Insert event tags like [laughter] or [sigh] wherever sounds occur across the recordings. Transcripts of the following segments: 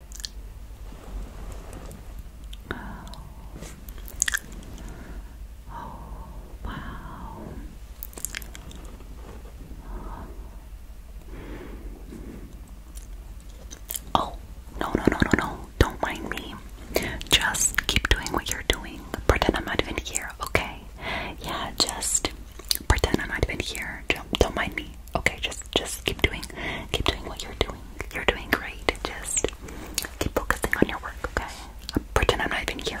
Oh. wow. Oh, no, no, no, no, no. Don't mind me. Just keep doing what you're doing. Pretend I'm not even here, okay? Yeah, just pretend I'm not even here. Don't, don't mind me. Okay, just just keep doing keep doing what you're doing. You're doing great. Just keep focusing on your work, okay? pretend I'm not even here.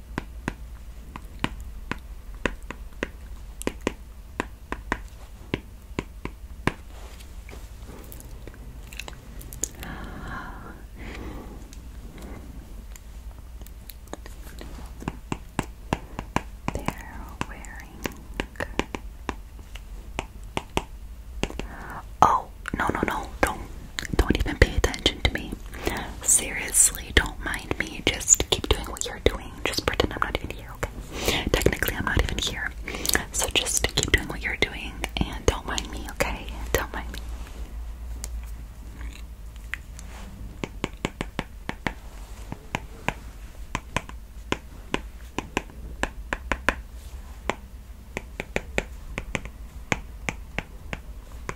They're wearing. Oh, no, no, no. Don't don't even pay attention to me. Seriously, don't mind just keep doing what you're doing. Just pretend I'm not even here, okay? Technically, I'm not even here. So just keep doing what you're doing and don't mind me, okay? Don't mind me.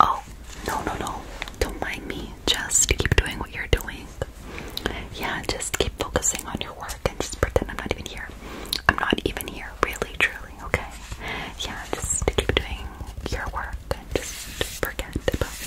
Oh, no, no, no. Don't mind me. Just keep doing what you're doing. Yeah, just keep focusing on your work and just pretend I'm not even here. I'm not even here, really, truly doing, okay? Yeah, just keep doing your work and just forget about me,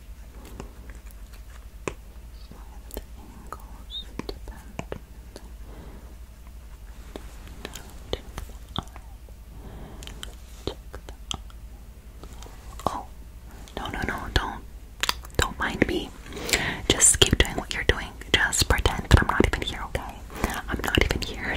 Oh, no, no, no, don't. Don't mind me. Just keep doing what you're doing. Just pretend I'm not even here, okay? I'm not even here.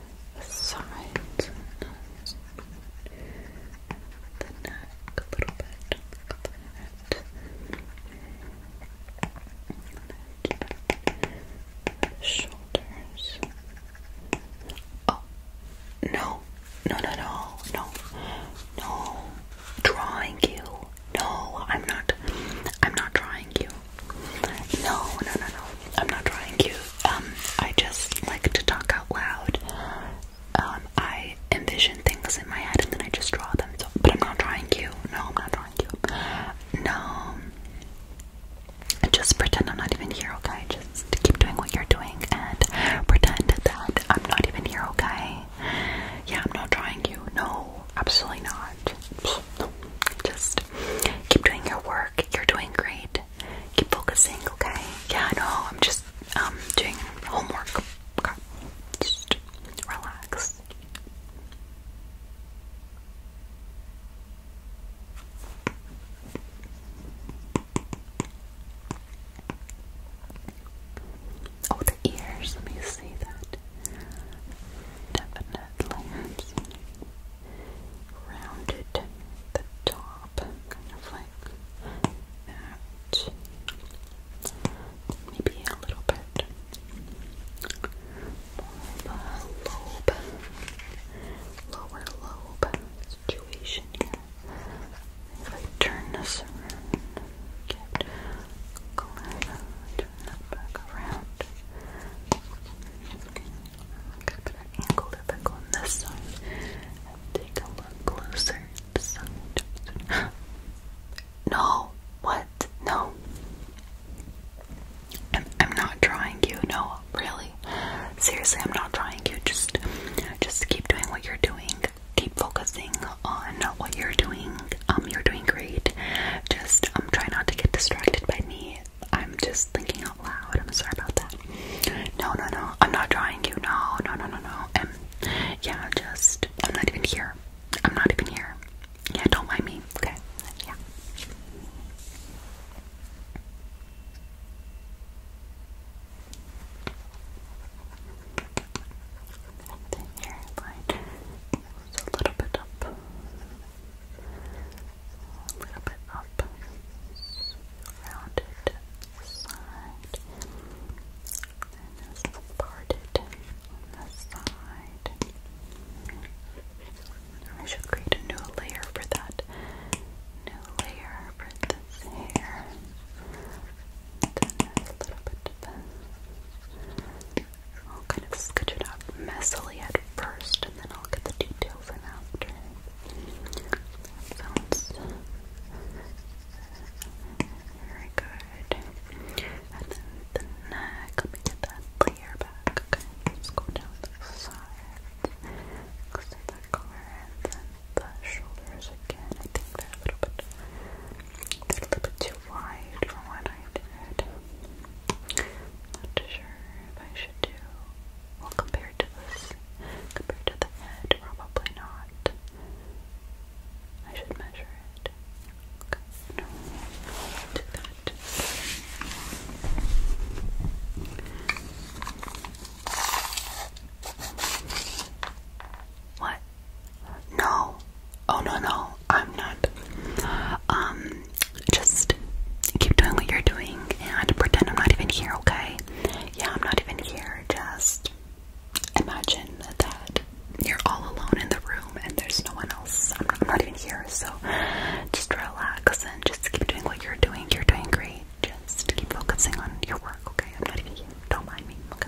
the the neck a little bit. And the shoulders. Oh no, no, no, no, no, no. Drawing you. No, I'm not. I'm not drawing you. No, no, no, no. I'm not drawing you um, I just like to talk out loud. Um, I envision things in my head and then I just draw them. So, but I'm not drawing you. No, I'm not drawing you. No. Um, just pretend I'm not even here, okay? Just keep doing what you're doing and pretend that I'm not even here, okay? Yeah, I'm not drawing you. No, absolutely not. No. Just keep doing your work. You're doing great good. Keep focusing, okay? Yeah, I know. I'm just um doing homework. Okay. relax. Oh, the ears. Let me see that. Definitely rounded the top, kind of like that. Maybe a little bit more lobe, lower lobe situation If I turn this around, turn that back around. I'm gonna put an on this side take a look closer [gasps] no! What? No. I'm, not trying you, no, really. Seriously, I'm not trying you. Just just keep doing what you're doing. Keep focusing on what you're doing. Um, you're doing great. Just um try not to get distracted by me. I'm just thinking out loud. I'm sorry about that. No, no, no. I'm not drawing you. No, no, no, no, no. And yeah, just I'm not even here. I'm not even here. Yeah, don't mind me. Okay. Yeah. The hairline goes a little bit up a little bit up, rounded side, and this parted on the side. I should create a new layer for that, new layer for this hair. a little bit I'll kind of sketch it out messily at first, and then I'll get the details in after. That sounds very good. And then the neck, let me get that layer back. Okay, let's go down the sides. Let's take that color and then the shoulders again. I think they're a little bit a little bit too wide from what I did. Not sure if I should do well, compared to this, compared to the head, probably not. I should measure it. no, i that. What? No. Oh no no, I'm not. Um, just keep doing what you're doing and pretend I'm not even here, okay? Yeah, I'm not even here. Just imagine that you're all alone in the room and there's no one else. I'm not, even here, so just relax and just keep doing what you're doing. You're doing great. Just keep focusing on your work, okay? I'm not even here. Don't mind me, okay?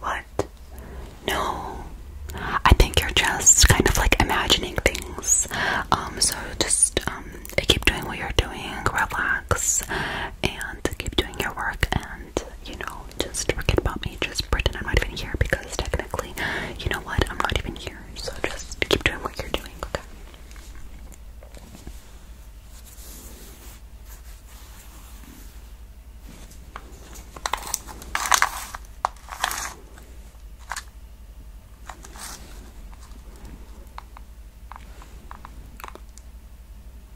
What? No. I think you're just kind of like imagining things. Um, so just um keep doing what you're doing, relax and keep doing your work and you know, just forget about me, just pretend I'm not even here because technically, you know what, I'm not even here, so just keep doing what you're doing, okay?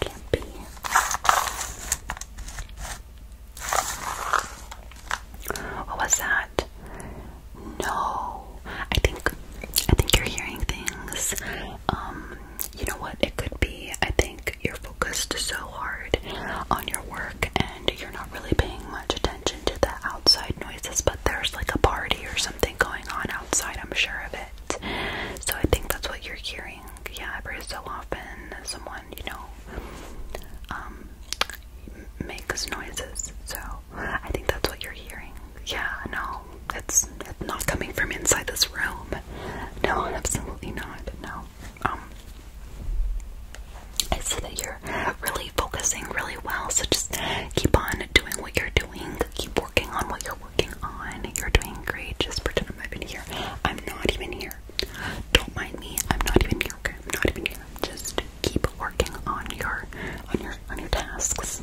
Can't be. What was that? No. I think I think you're hearing things. Um, you know what it could be. I think you're focused so hard on your work and you're not really paying much attention to the outside noises, but there's like a party or something going on outside, I'm sure of it. So I think that's what you're hearing. Yeah, every so often someone, you know, um makes noises. So I think that's what you're hearing yeah, no, it's, not coming from inside this room. No, absolutely not. No. Um, I see that you're really focusing really well, so just keep on doing what you're doing. Keep working on what you're working on. You're doing great. Just pretend I'm not even here. I'm not even here. Don't mind me. I'm not even here. I'm not even here. Just keep working on your on your on your tasks.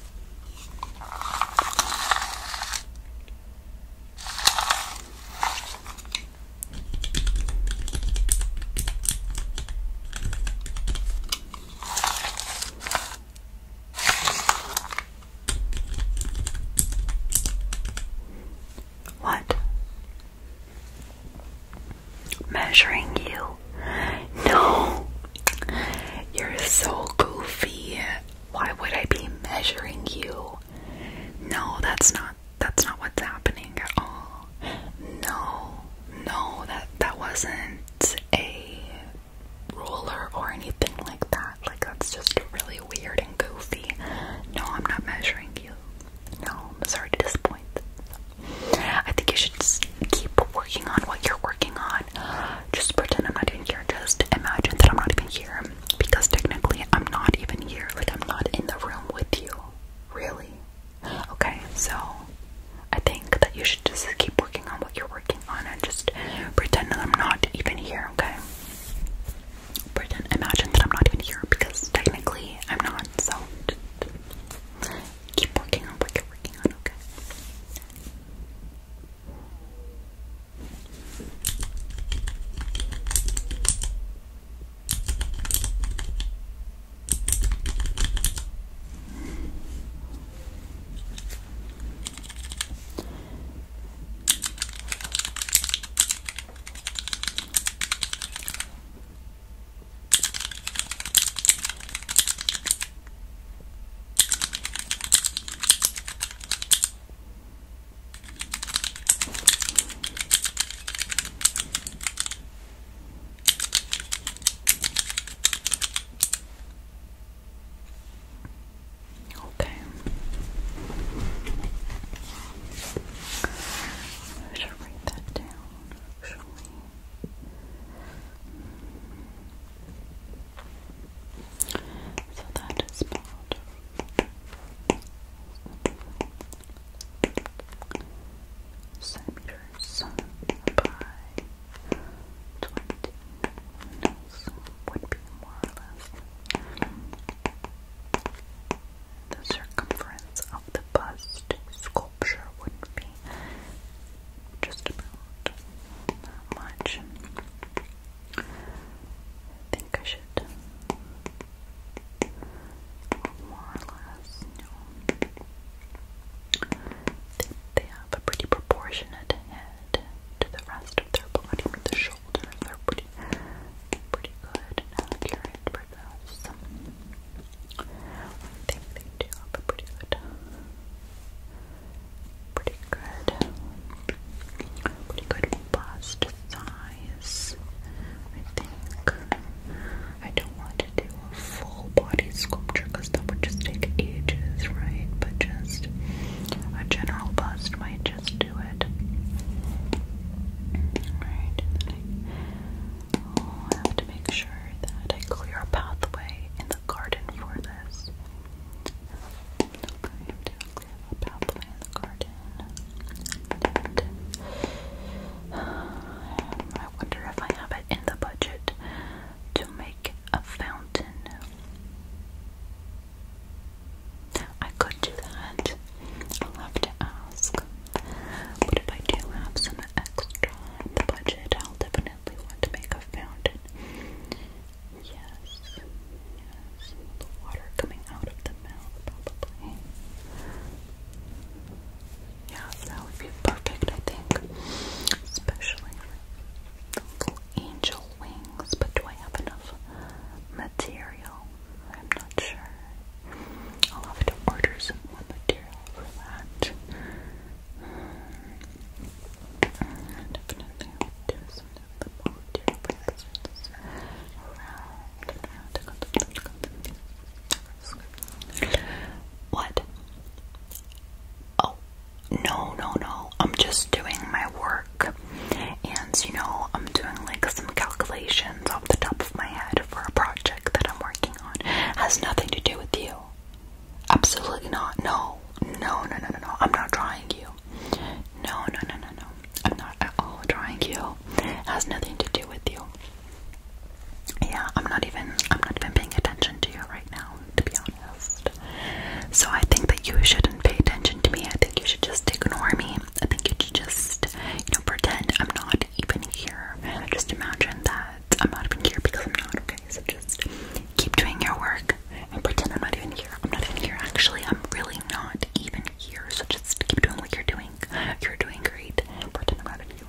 What? Measuring you no, you're so goofy. Why would I be measuring you? No, that's not that's not what's happening at all. No, no, that that wasn't a ruler or anything like that. Like that's just really weird and goofy. No, I'm not measuring you. No, I'm sorry to disappoint. I think you should just keep working on what you're working on. Just pretend I'm not even here. Just imagine that I'm not even here because technically I'm not even here. Like I'm not in the room with you. Really? Okay, so I think that you should just keep working on what you're working on and just pretend that I'm not even here, okay? Pretend, imagine that I'm not even here because technically I'm not, so Keep working on what you working on, okay? Okay. I should write that down, actually. So that is part centimeters by twenty nails would be more or less the circumference of the bust sculpture would be country. Just about that much. I think I should more or less, They, have a pretty proportionate head to the rest of their body, the shoulders are pretty, pretty good and accurate pretty up, pretty good. Pretty good. Pretty good bust size. I think I don't want to do a full body sculpture because that would just take ages, right? But just a general bust might just do it. Alright, I have to make sure that I clear a pathway in the garden for this. I have to clear a pathway in the garden. And, I wonder if I have it in the budget to make a fountain. I could do that. I'll have to ask. But if I do have some extra budget, I'll definitely want to make a fountain. Yes, the water coming out of the mouth, probably. Yeah, that would be perfect, I think. Especially little angel wings, but do I have enough material? I'm not sure. I'll have to order some material for that. definitely I'll do some of material presents around what? Oh, no, no, no. I'm just doing my work. And, you know, I'm doing like some calculations off the top of my head for a project that I'm working working on has nothing to do with you. Absolutely not. No, no, no, no, no, no. I'm not trying you. No, no, no, no, no. I'm not at all trying you. It has nothing to do with you. Yeah, I'm not even I'm not even paying attention to you right now, to be honest. So I think that you shouldn't pay attention to me. I think you should just ignore me. I think you should just, you know, pretend I'm not even here. Just imagine that I'm not even here because I'm not, okay? So just keep doing your work and pretend I'm not even here. I'm not even here, actually. I'm really not even here. So just keep doing what you're doing. You're doing great. Pretend I'm not even here,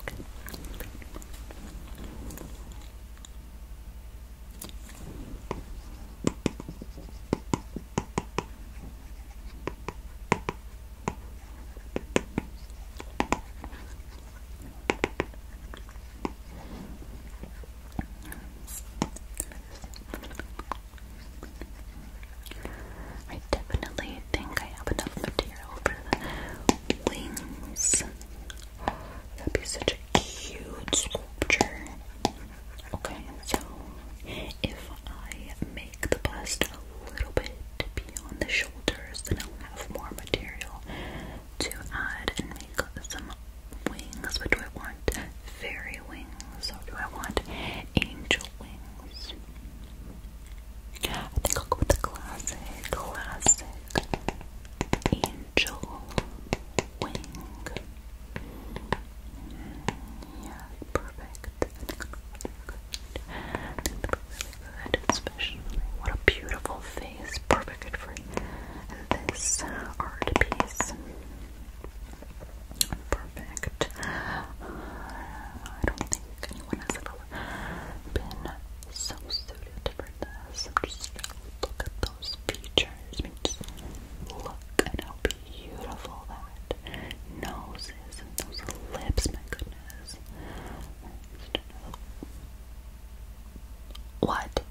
I definitely think I have enough material for the wings. That'd be such a cute sculpture. Okay, so if I make take the bust a little bit beyond the shoulders, then I'll have more material to add and make some wings. What do I want? Fairy wings, or do I want angel wings? I think I'll go with the classic, classic angel wing. Mm, yeah, perfect good, especially. What a beautiful face, perfect for and this art piece. Perfect. Uh, I don't think anyone has ever been so suited for this. I'm just look at those features. look at how beautiful that nose is and those lips. My goodness, what?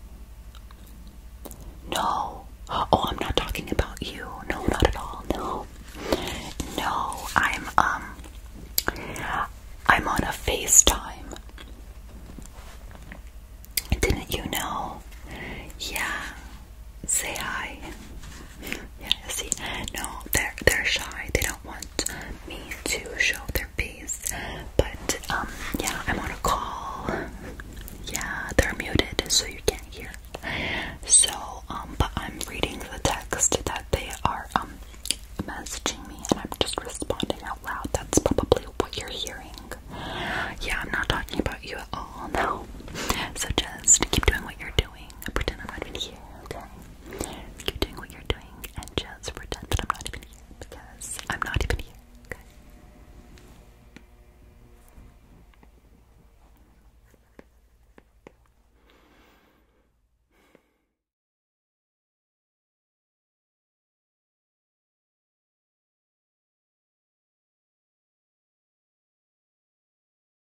No. Oh, I'm not talking about you. No, not at all. No. No, I'm um I'm on a FaceTime. Didn't you know? Yeah. Say hi. Yeah, see, no, they're they're shy. They don't want me to show their face. But um, yeah, I'm on a call. Yeah, they're muted, so you can't hear. So um, but I'm reading the text that they are um messaging me, and I'm just responding out loud. That's probably what you're hearing. Yeah, I'm not talking about you at all. No. So just keep doing what you're doing. Pretend I'm not even here, okay? Keep doing what you're doing and just pretend that I'm not even here because I'm not even here, okay?